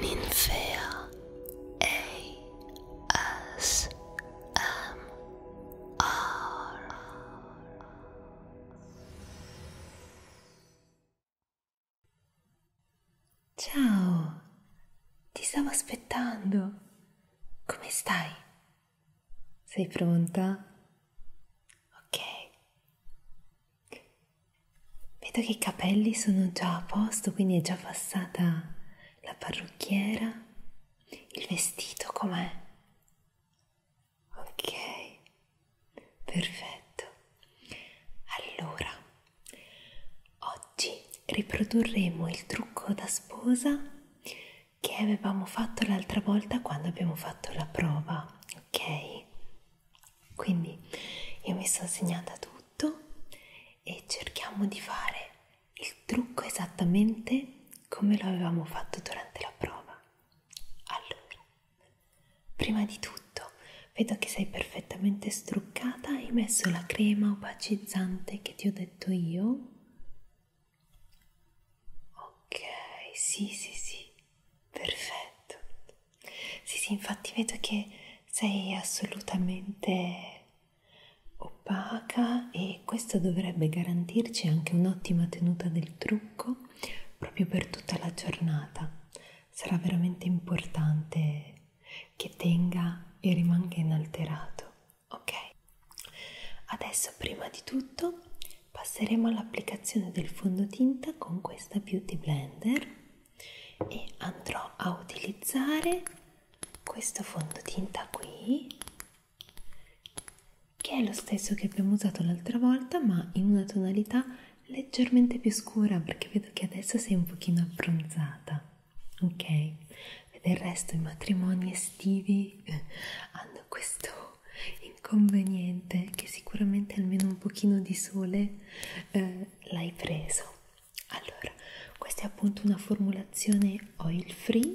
Ninfea ASMR Ciao, ti stavo aspettando. Come stai? Sei pronta? Ok. Vedo che i capelli sono già a posto, quindi è già passata la parrucchiera. Il vestito com'è? Ok, perfetto. Allora, oggi riprodurremo il trucco da sposa che avevamo fatto l'altra volta quando abbiamo fatto la prova, ok? Quindi io mi sono segnata tutto e cerchiamo di fare il trucco esattamente come lo avevamo fatto durante la prova. Allora, prima di tutto vedo che sei perfettamente struccata, hai messo la crema opacizzante che ti ho detto io. Ok, sì, sì, sì, perfetto. Sì, sì, infatti vedo che sei assolutamente opaca e questo dovrebbe garantirci anche un'ottima tenuta del trucco proprio per tutta la giornata. Sarà veramente importante che tenga e rimanga inalterato, ok? Adesso prima di tutto passeremo all'applicazione del fondotinta con questa Beauty Blender e andrò a utilizzare questo fondotinta qui che è lo stesso che abbiamo usato l'altra volta ma in una tonalità leggermente più scura perché vedo che adesso sei un pochino abbronzata ok e del resto i matrimoni estivi eh, hanno questo inconveniente che sicuramente almeno un pochino di sole eh, l'hai preso allora questa è appunto una formulazione oil free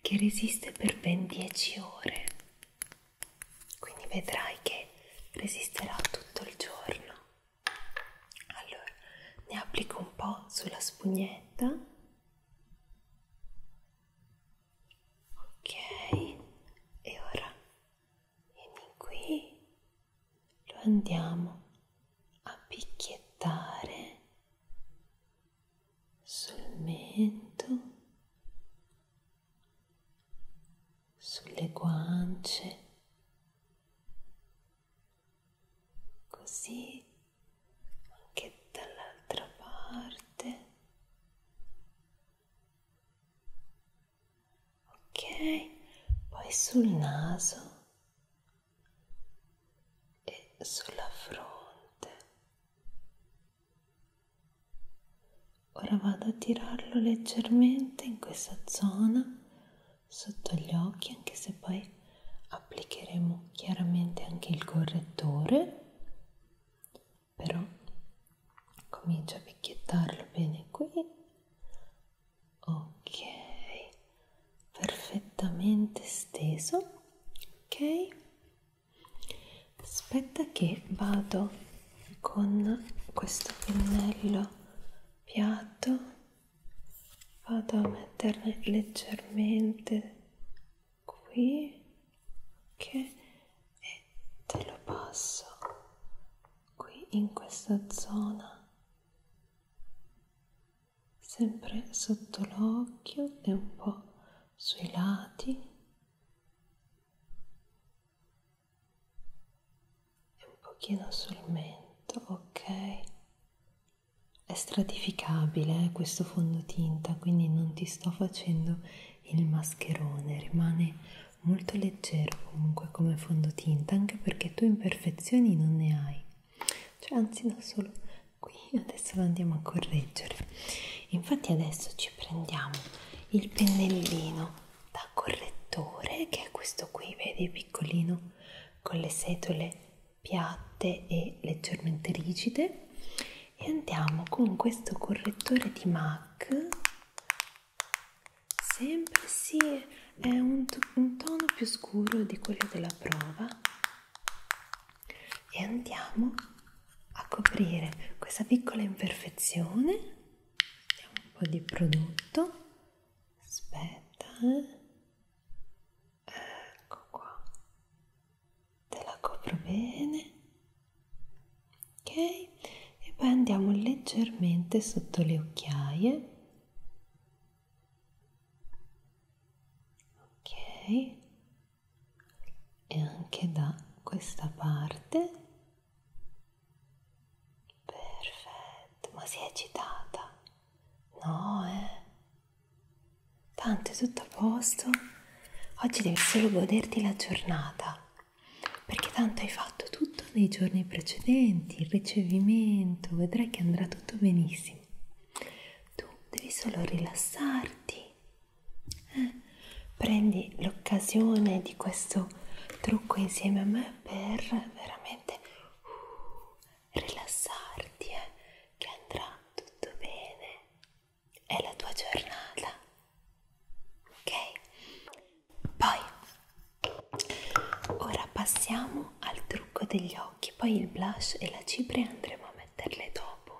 che resiste per ben 10 ore quindi vedrai che resisterà tutto il giorno allora ne applico un po' sulla spugnetta ok e ora e di qui lo andiamo a picchiettare sul mento, sulle guance, così anche dall'altra parte ok poi sul naso e sulla fronte ora vado a tirarlo leggermente in questa zona sotto gli occhi anche se poi applicheremo chiaramente anche il correttore però comincia a picchiettarlo bene qui ok perfettamente steso ok aspetta che vado con questo pennello piatto vado a metterne leggermente qui ok e te lo passo qui in questa zona, sempre sotto l'occhio e un po' sui lati. e un pochino sul mento, ok? È stratificabile eh, questo fondotinta, quindi non ti sto facendo il mascherone, rimane molto leggero comunque come fondotinta anche perché tu imperfezioni non ne hai cioè anzi no solo qui adesso lo andiamo a correggere infatti adesso ci prendiamo il pennellino da correttore che è questo qui vedi piccolino con le setole piatte e leggermente rigide e andiamo con questo correttore di MAC Sempre sì, è un, un tono più scuro di quello della prova e andiamo a coprire questa piccola imperfezione. Mettiamo un po' di prodotto. Aspetta, eh. ecco qua. Te la copro bene ok? E poi andiamo leggermente sotto le occhiaie. Ok? E anche da questa parte. Perfetto, ma si è agitata? No, eh? Tanto è tutto a posto. Oggi devi solo goderti la giornata perché tanto hai fatto tutto nei giorni precedenti, il ricevimento, vedrai che andrà tutto benissimo. Tu devi solo rilassarti, eh? prendi l'occasione di questo trucco insieme a me per veramente uh, rilassarti, eh? che andrà tutto bene. È la tua giornata, ok poi ora passiamo al trucco degli occhi poi il blush e la cipria andremo a metterle dopo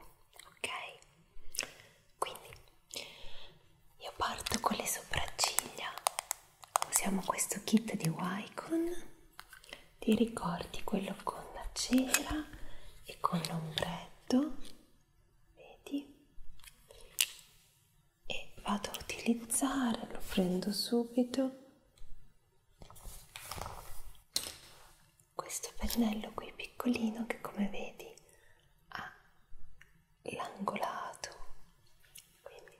ok quindi io parto con le sopracciglia usiamo questo kit di Wycon ti ricordi quello con la cera e con l'ombretto vedi e vado a utilizzare, lo prendo subito. Questo pennello qui piccolino che come vedi ha l'angolato, quindi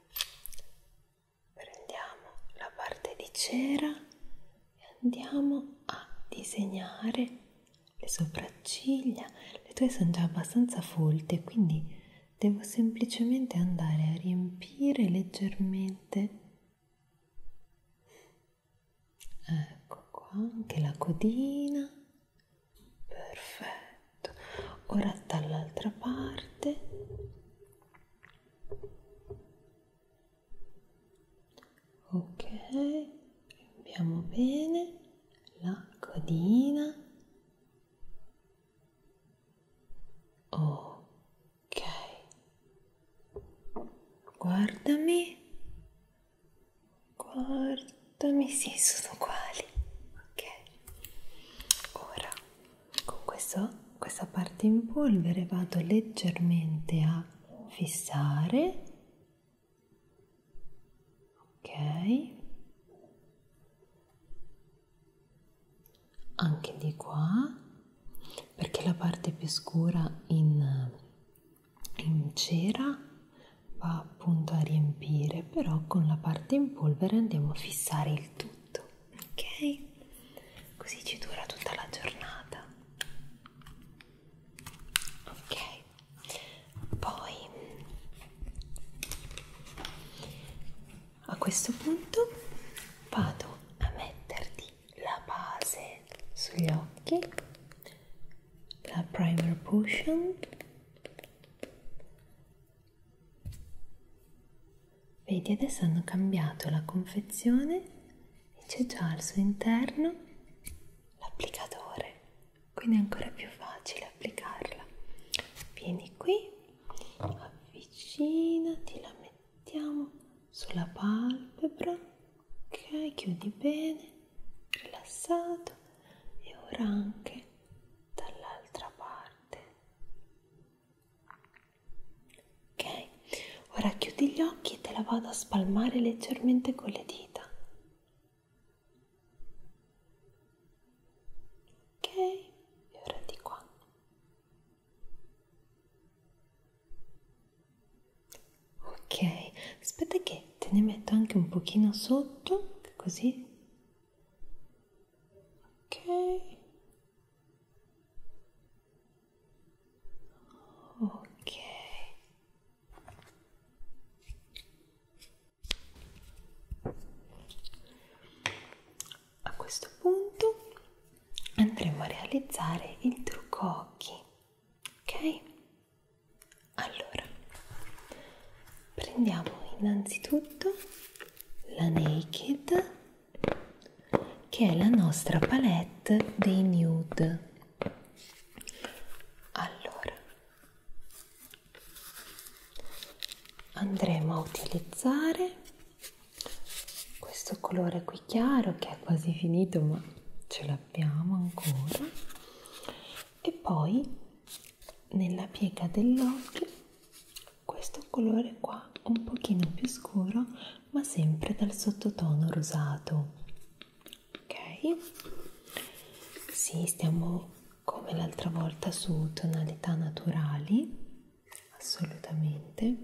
prendiamo la parte di cera e andiamo a disegnare le sopracciglia. Le tue sono già abbastanza folte, quindi devo semplicemente andare a riempire leggermente ecco qua anche la codina perfetto ora dall'altra parte ok riempiamo bene la codina Ok. Guardami. Guardami, sì, sono uguali. Ok. Ora, con questo, questa parte in polvere vado leggermente a fissare ok anche di qua perché la parte più scura in, in cera va appunto a riempire però con la parte in polvere andiamo a fissare il tutto ok così ci dura tutta la giornata ok poi a questo punto vado a metterti la base sugli occhi la primer potion vedi adesso hanno cambiato la confezione e c'è già al suo interno l'applicatore quindi è ancora più facile applicarla vieni qui avvicinati la mettiamo sulla palpebra ok chiudi bene rilassato e ora anche dall'altra parte ok ora chiudi gli occhi e te la vado a spalmare leggermente con le dita Ok, e ora di qua. Ok, aspetta che te ne metto anche un pochino sotto, così. Ok. Ok. A questo punto andremo a realizzare il trucco occhi, ok? Allora, prendiamo innanzitutto la Naked che è la nostra palette dei nude. Allora, andremo a utilizzare questo colore qui chiaro che è quasi finito ma ce l'abbiamo ancora e poi nella piega dell'occhio questo colore qua un pochino più scuro ma sempre dal sottotono rosato ok sì stiamo come l'altra volta su tonalità naturali assolutamente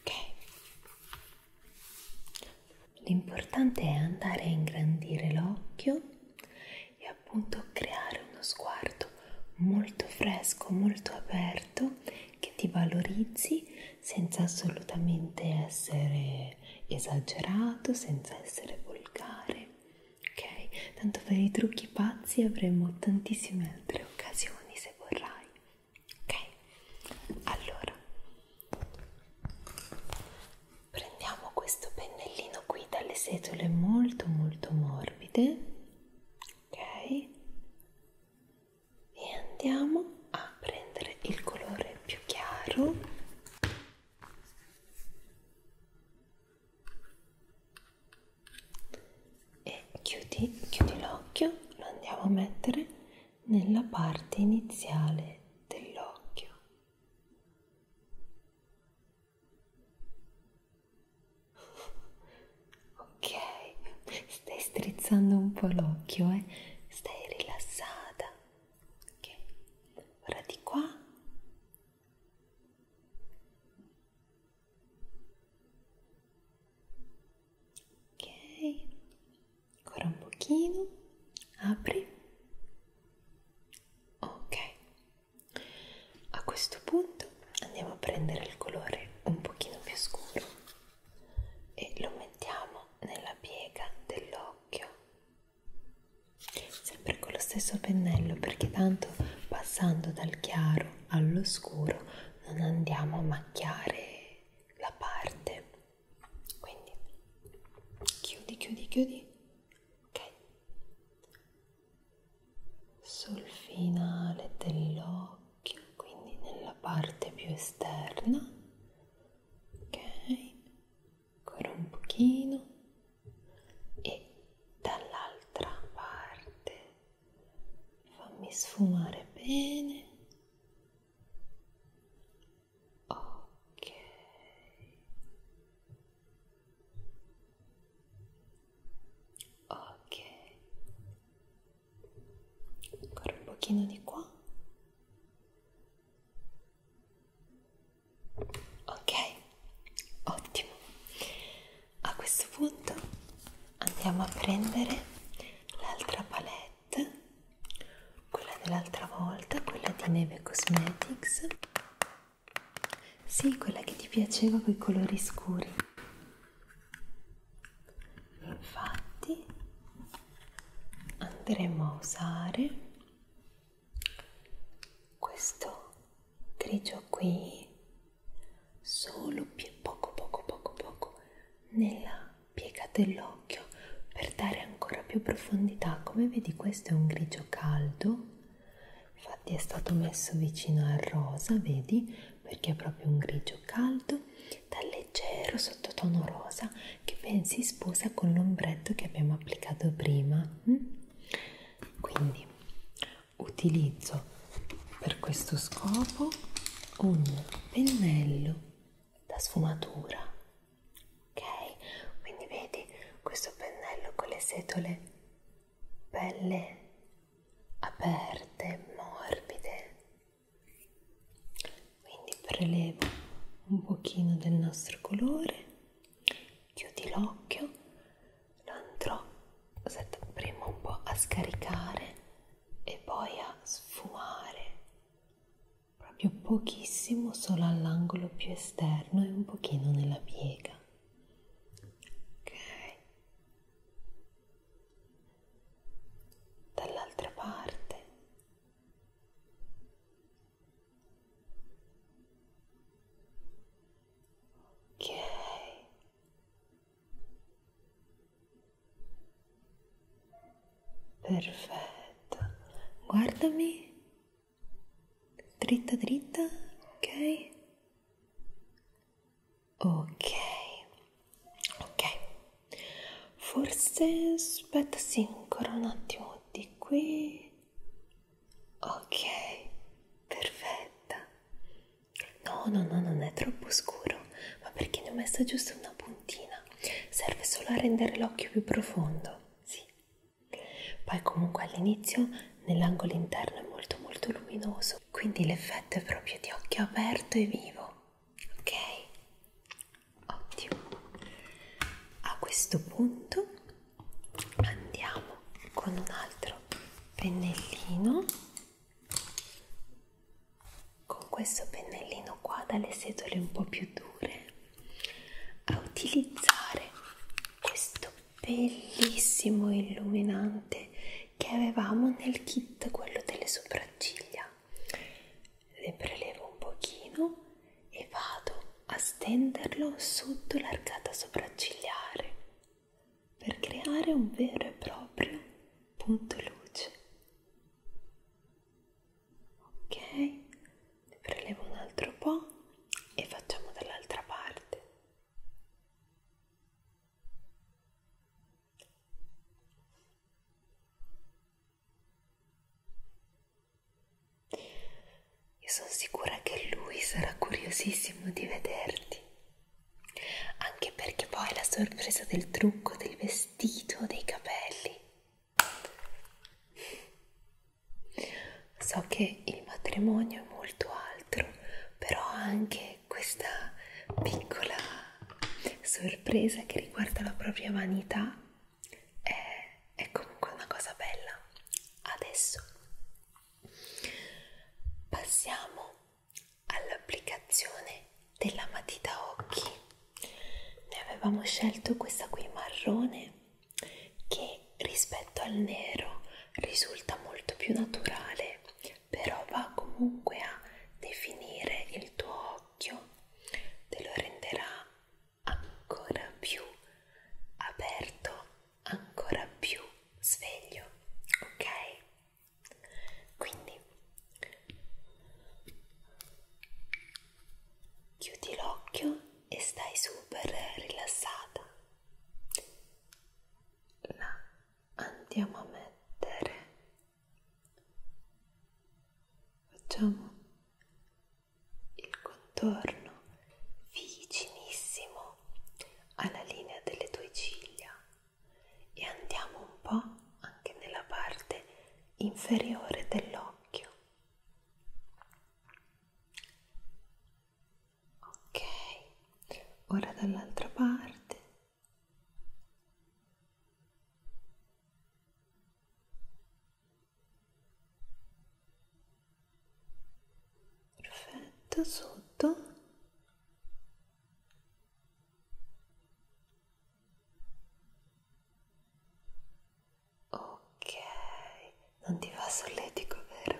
ok l'importante è andare a ingrandire l'occhio e appunto creare uno sguardo molto fresco molto aperto che ti valorizzi senza assolutamente essere esagerato senza essere volgare ok? Tanto per i trucchi pazzi avremo tantissime altre occasioni se vorrai, ok? Allora, prendiamo questo pennellino qui dalle setole molto molto morbide, ok? E andiamo a prendere il colore più chiaro e chiudi, chiudi l'occhio, lo andiamo a mettere nella parte iniziale dell'occhio. ok, stai strizzando un po' l'occhio, eh? stai rilassata. Ok, ora di qua Ok, ancora un pochino, apri. Ok, a questo punto andiamo a prendere il colore un pochino più scuro e lo mettiamo nella piega dell'occhio sempre con lo stesso pennello perché tanto passando dal chiaro all'oscuro non andiamo a macchiare la parte quindi chiudi chiudi chiudi ok sul finale dell'occhio quindi nella parte più esterna ok ancora un pochino e dall'altra parte fammi sfumare bene ok ok ancora un pochino di qua ok ottimo a questo punto andiamo a prendere l'altra palette quella dell'altra volta quella di neve cosmetics sì quella che ti piaceva con i colori scuri infatti andremo a usare questo grigio qui solo poco poco poco poco nella piega dell'occhio per dare ancora più profondità come vedi questo è un grigio caldo infatti è stato messo vicino al rosa vedi perché è proprio un grigio caldo dal leggero sottotono rosa che ben si sposa con l'ombretto che abbiamo applicato prima mm? quindi utilizzo per questo scopo un pennello da sfumatura ok quindi vedi questo pennello con le setole belle aperte morbide quindi prelevo un pochino del nostro colore chiudi l'occhio, lo andrò prima un po' a scaricare e poi a sfumare, proprio pochissimo solo all'angolo più esterno e un pochino nella piega. Ok. Dall'altra parte Ok. Perfetto. Guardami. Dritta, dritta. Ok. Ok. Ok. Forse aspetta, sì, ancora un attimo di qui. Ok, perfetta. No, no, no, non è troppo scuro, ma perché ne ho messa giusto una puntina. Serve solo a rendere l'occhio più profondo, sì. Poi comunque all'inizio nell'angolo interno è molto molto luminoso, quindi l'effetto è proprio di occhio aperto e vivo. Ok? Ottimo. A questo punto andiamo con un altro pennellino con questo pennellino qua dalle setole un po' più dure a utilizzare questo bellissimo illuminante che avevamo nel kit quello delle sopracciglia le prelevo un pochino e vado a stenderlo sotto l'arcata sopraccigliare per creare un vero e proprio punto luce. Ok, ne prelevo un altro po' e facciamo dall'altra parte. Io sono sicura che lui sarà curiosissimo di vederti, anche perché poi la sorpresa del trucco, del vestito, dei capelli. So che il matrimonio è molto altro, però anche questa piccola sorpresa che riguarda la propria vanità è, è comunque una cosa bella. Adesso Passiamo all'applicazione della matita occhi. Ne avevamo scelto questa qui marrone che rispetto al nero risulta molto più naturale, però va comunque a definire il tuo occhio, te lo renderà ancora più aperto, ancora più sveglio, ok? Quindi chiudi l'occhio e stai super rilassata. La andiamo a mettere. Facciamo il contorno vicinissimo alla linea delle tue ciglia e andiamo un po' anche nella parte inferiore dell'occhio. Ok, ora dall'altra parte perfetto sotto ok non ti fa solletico vero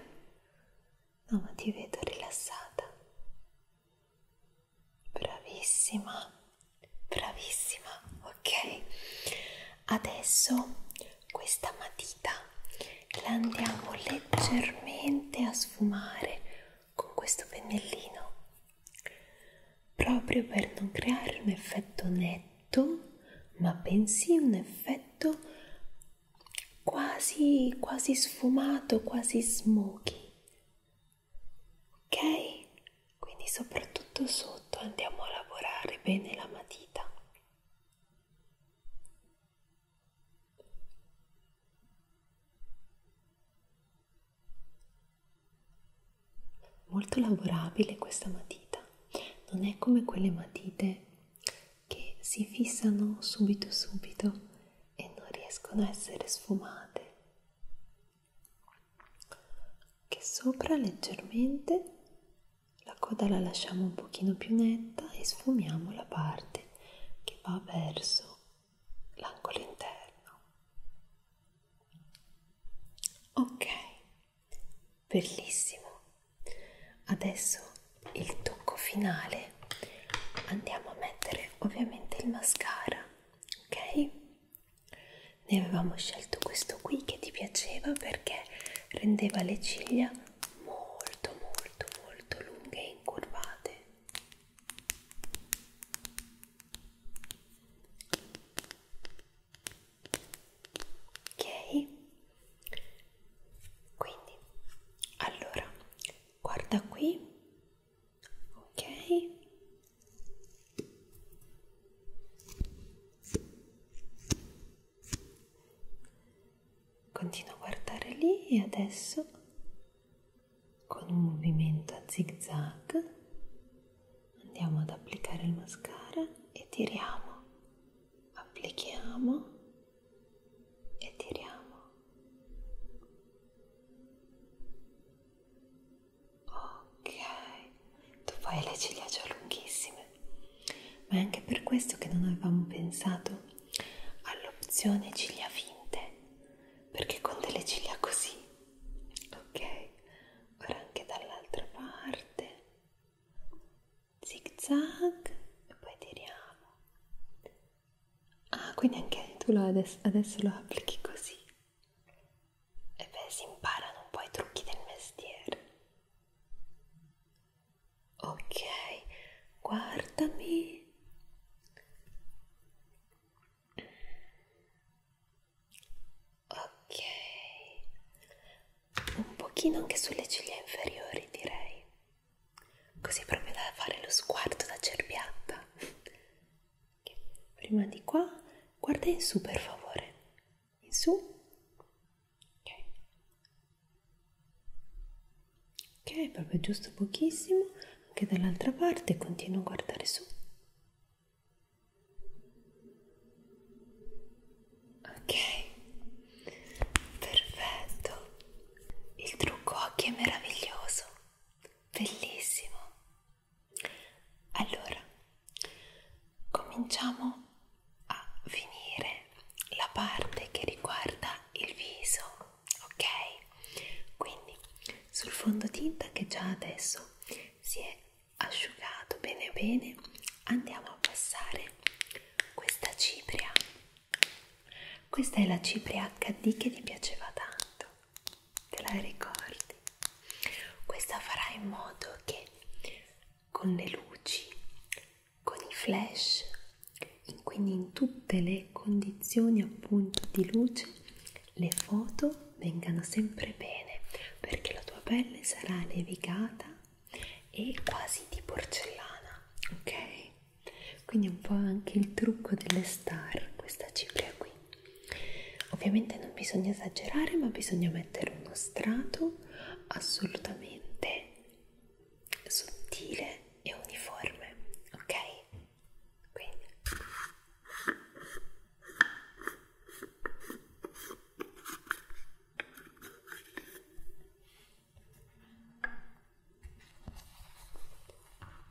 no ma ti vedo rilassata bravissima bravissima ok adesso questa matita la andiamo leggermente a sfumare con questo pennellino proprio per non creare un effetto netto ma bensì un effetto quasi quasi sfumato quasi smoky ok quindi soprattutto sotto andiamo a lavorare bene la matita Molto lavorabile questa matita, non è come quelle matite che si fissano subito subito e non riescono a essere sfumate. Che sopra leggermente la coda la lasciamo un pochino più netta e sfumiamo la parte che va verso l'angolo interno. Ok, bellissimo. Adesso il tocco finale. Andiamo a mettere ovviamente il mascara, ok? Ne avevamo scelto questo qui che ti piaceva perché rendeva le ciglia molto molto molto lunghe e incurvate ok quindi allora guarda qui ok Continua a guardare lì e adesso con un movimento a zig zag andiamo ad applicare il mascara e tiriamo. Applichiamo e tiriamo. Ok, tu fai le ciglia già lunghissime, ma è anche per questo che non avevamo pensato all'opzione ciglia finte, perché con delle ciglia così, ok? Ora anche dall'altra parte, zig zag e poi tiriamo. Ah, quindi anche tu lo adesso, adesso lo applichi così. E beh, si imparano un po' i trucchi del mestiere. Ok, guardami. Ok, un pochino anche sulle ciglia inferiori direi, così proprio da fare lo sguardo da cerbiatta. Prima di qua, guarda in su per favore in su ok ok proprio giusto pochissimo anche dall'altra parte continuo a guardare su ok perfetto il trucco occhi è meraviglioso bellissimo allora cominciamo a finire la parte che riguarda il viso, ok? Quindi sul fondotinta che già adesso si è asciugato bene bene andiamo a passare questa cipria. Questa è la cipria HD che ti piaceva tanto, te la ricordi? Questa farà in modo che con le luci con i flash, quindi in tutte le condizioni appunto di luce, le foto vengano sempre bene perché la tua pelle sarà levigata e quasi di porcellana, ok? Quindi un po' anche il trucco delle star, questa cipria qui. Ovviamente non bisogna esagerare, ma bisogna mettere uno strato assolutamente sottile e uniforme, ok? Quindi.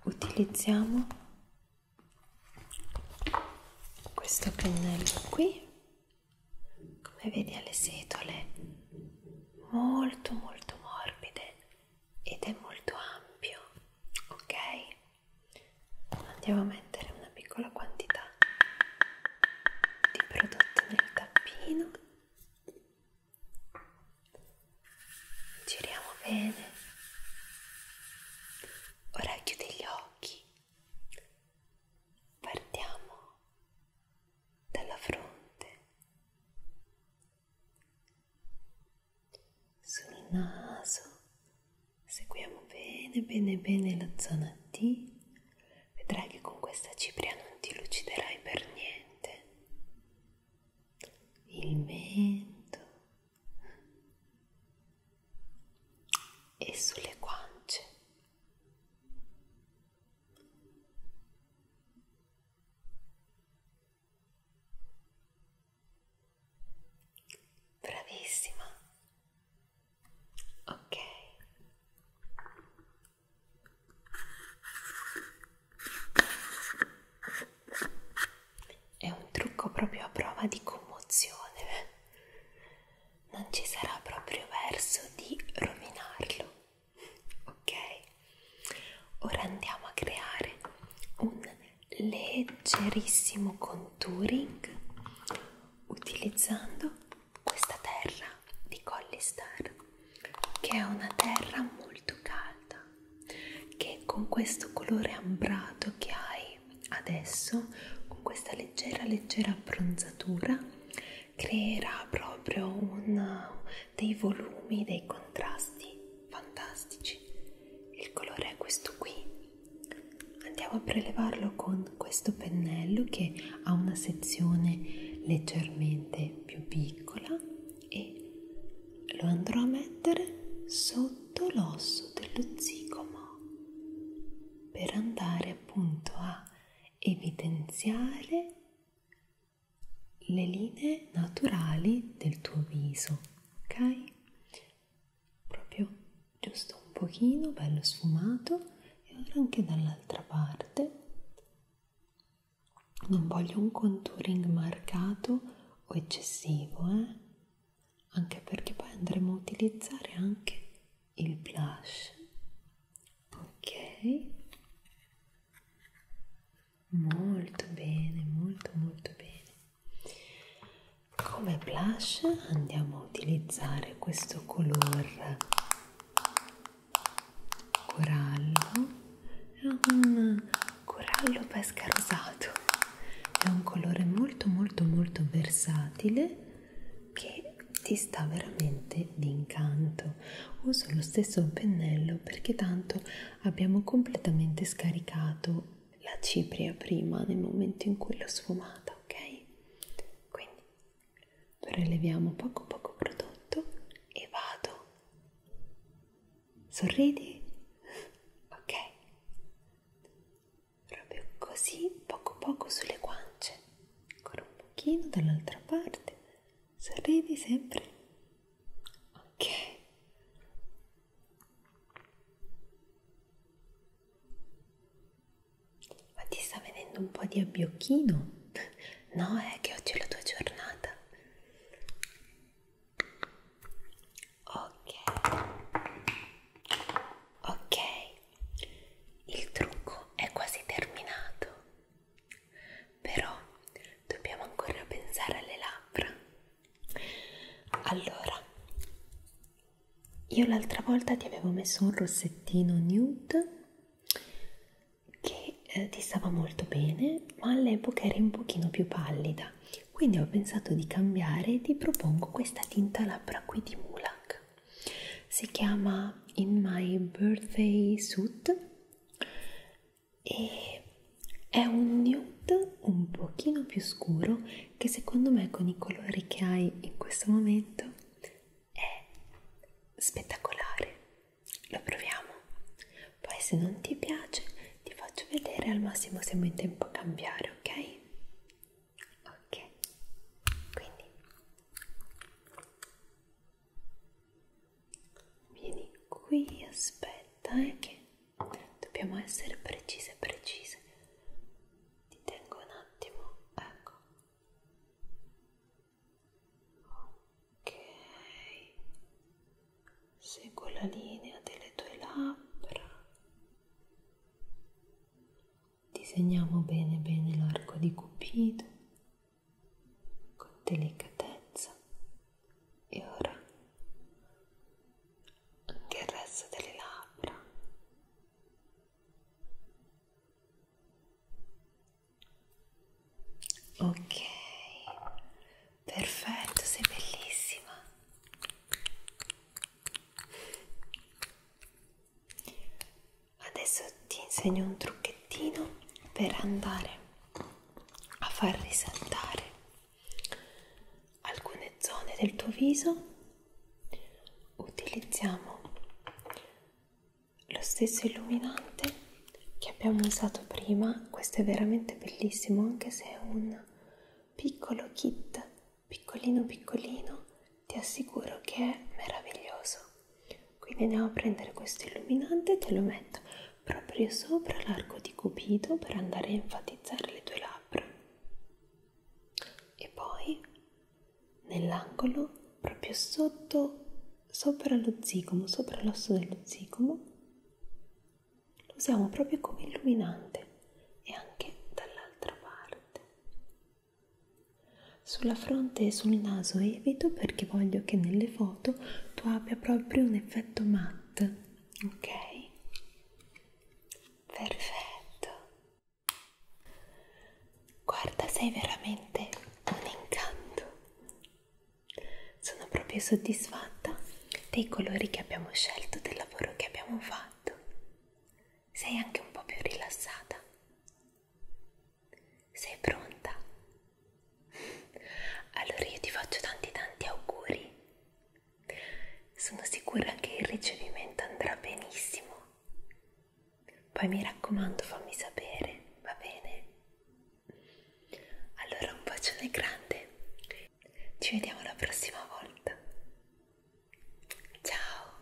Utilizziamo questo pennello qui come vedi ha le setole molto molto morbide ed è molto ampio ok andiamo a mettere una piccola quantità di prodotto nel tappino giriamo bene ora chiudi gli occhi partiamo dalla fronte sul naso seguiamo bene bene bene la zona D vedrai che con questa cipria non ti luciderai per niente il mento e sulle guance Bravissima. Ok. È un trucco proprio a prova di commozione. Non ci sarà proprio verso di rovinarlo ok ora andiamo a creare un leggerissimo contouring utilizzando questa terra di Collie Star che è una terra molto calda che con questo colore ambrato che hai adesso con questa leggera leggera abbronzatura creerà proprio un, dei volumi, dei contrasti fantastici. Il colore è questo qui. Andiamo a prelevarlo con questo pennello che ha una sezione leggermente più piccola e lo andrò a mettere sotto l'osso dello zigomo per andare appunto a evidenziare le linee naturali del tuo viso, ok? Proprio giusto un pochino, bello sfumato e ora anche dall'altra parte. Non voglio un contouring marcato o eccessivo, eh? Anche perché poi andremo a utilizzare anche il blush ok molto bene molto molto bene come blush andiamo a utilizzare questo color corallo è un corallo pesca rosato è un colore molto molto molto versatile che e ti sta veramente d'incanto uso lo stesso pennello perché tanto abbiamo completamente scaricato la cipria prima nel momento in cui l'ho sfumata ok quindi preleviamo poco poco prodotto e vado sorridi ok proprio così poco poco sulle guance ancora un pochino dall'altra parte Sorridi sempre. Ok. Ma ti sta venendo un po' di abbiocchino? No, è eh, che oggi è la tua giornata. Ok. Ok. Il trucco è quasi terminato però dobbiamo ancora pensare alle labbra allora io l'altra volta ti avevo messo un rossettino nude che eh, ti stava molto bene ma all'epoca eri un pochino più pallida quindi ho pensato di cambiare e ti propongo questa tinta labbra qui di Mulak si chiama In My Birthday Suit e è un nude un pochino più scuro che secondo me con i colori che hai in questo momento è spettacolare lo proviamo poi se non ti piace ti faccio vedere al massimo siamo in tempo a cambiare ok ok quindi Vieni qui, aspetta, eh, che dobbiamo essere precise, precise. Ti tengo un attimo, ecco. Ok, seguo la linea delle tue labbra. Disegniamo bene bene l'arco di Cupido con delicatezza e ora anche il resto delle labbra ok perfetto sei bellissima Adesso ti insegno un trucchettino per andare a far risaltare alcune zone del tuo viso. Utilizziamo lo stesso illuminante che abbiamo usato prima, questo è veramente bellissimo anche se è un piccolo kit, piccolino piccolino, ti assicuro che è meraviglioso. Quindi andiamo a prendere questo illuminante e te lo metto proprio sopra l'arco di cupido per andare a enfatizzare le tue labbra. E poi nell'angolo, proprio sotto, sopra lo zigomo, sopra l'osso dello zigomo, lo usiamo proprio come illuminante e anche dall'altra parte. Sulla fronte e sul naso evito perché voglio che nelle foto tu abbia proprio un effetto matte, ok? Perfetto. Guarda, sei veramente un incanto. Sono proprio soddisfatta dei colori che abbiamo scelto, del lavoro che abbiamo fatto. Sei anche un po' più rilassata. Sei pronta? Allora io ti faccio tanti tanti auguri. Sono sicura che il ricevimento andrà benissimo. Poi mi raccomando fammi sapere, va bene? Allora un bacione grande. Ci vediamo la prossima volta. Ciao!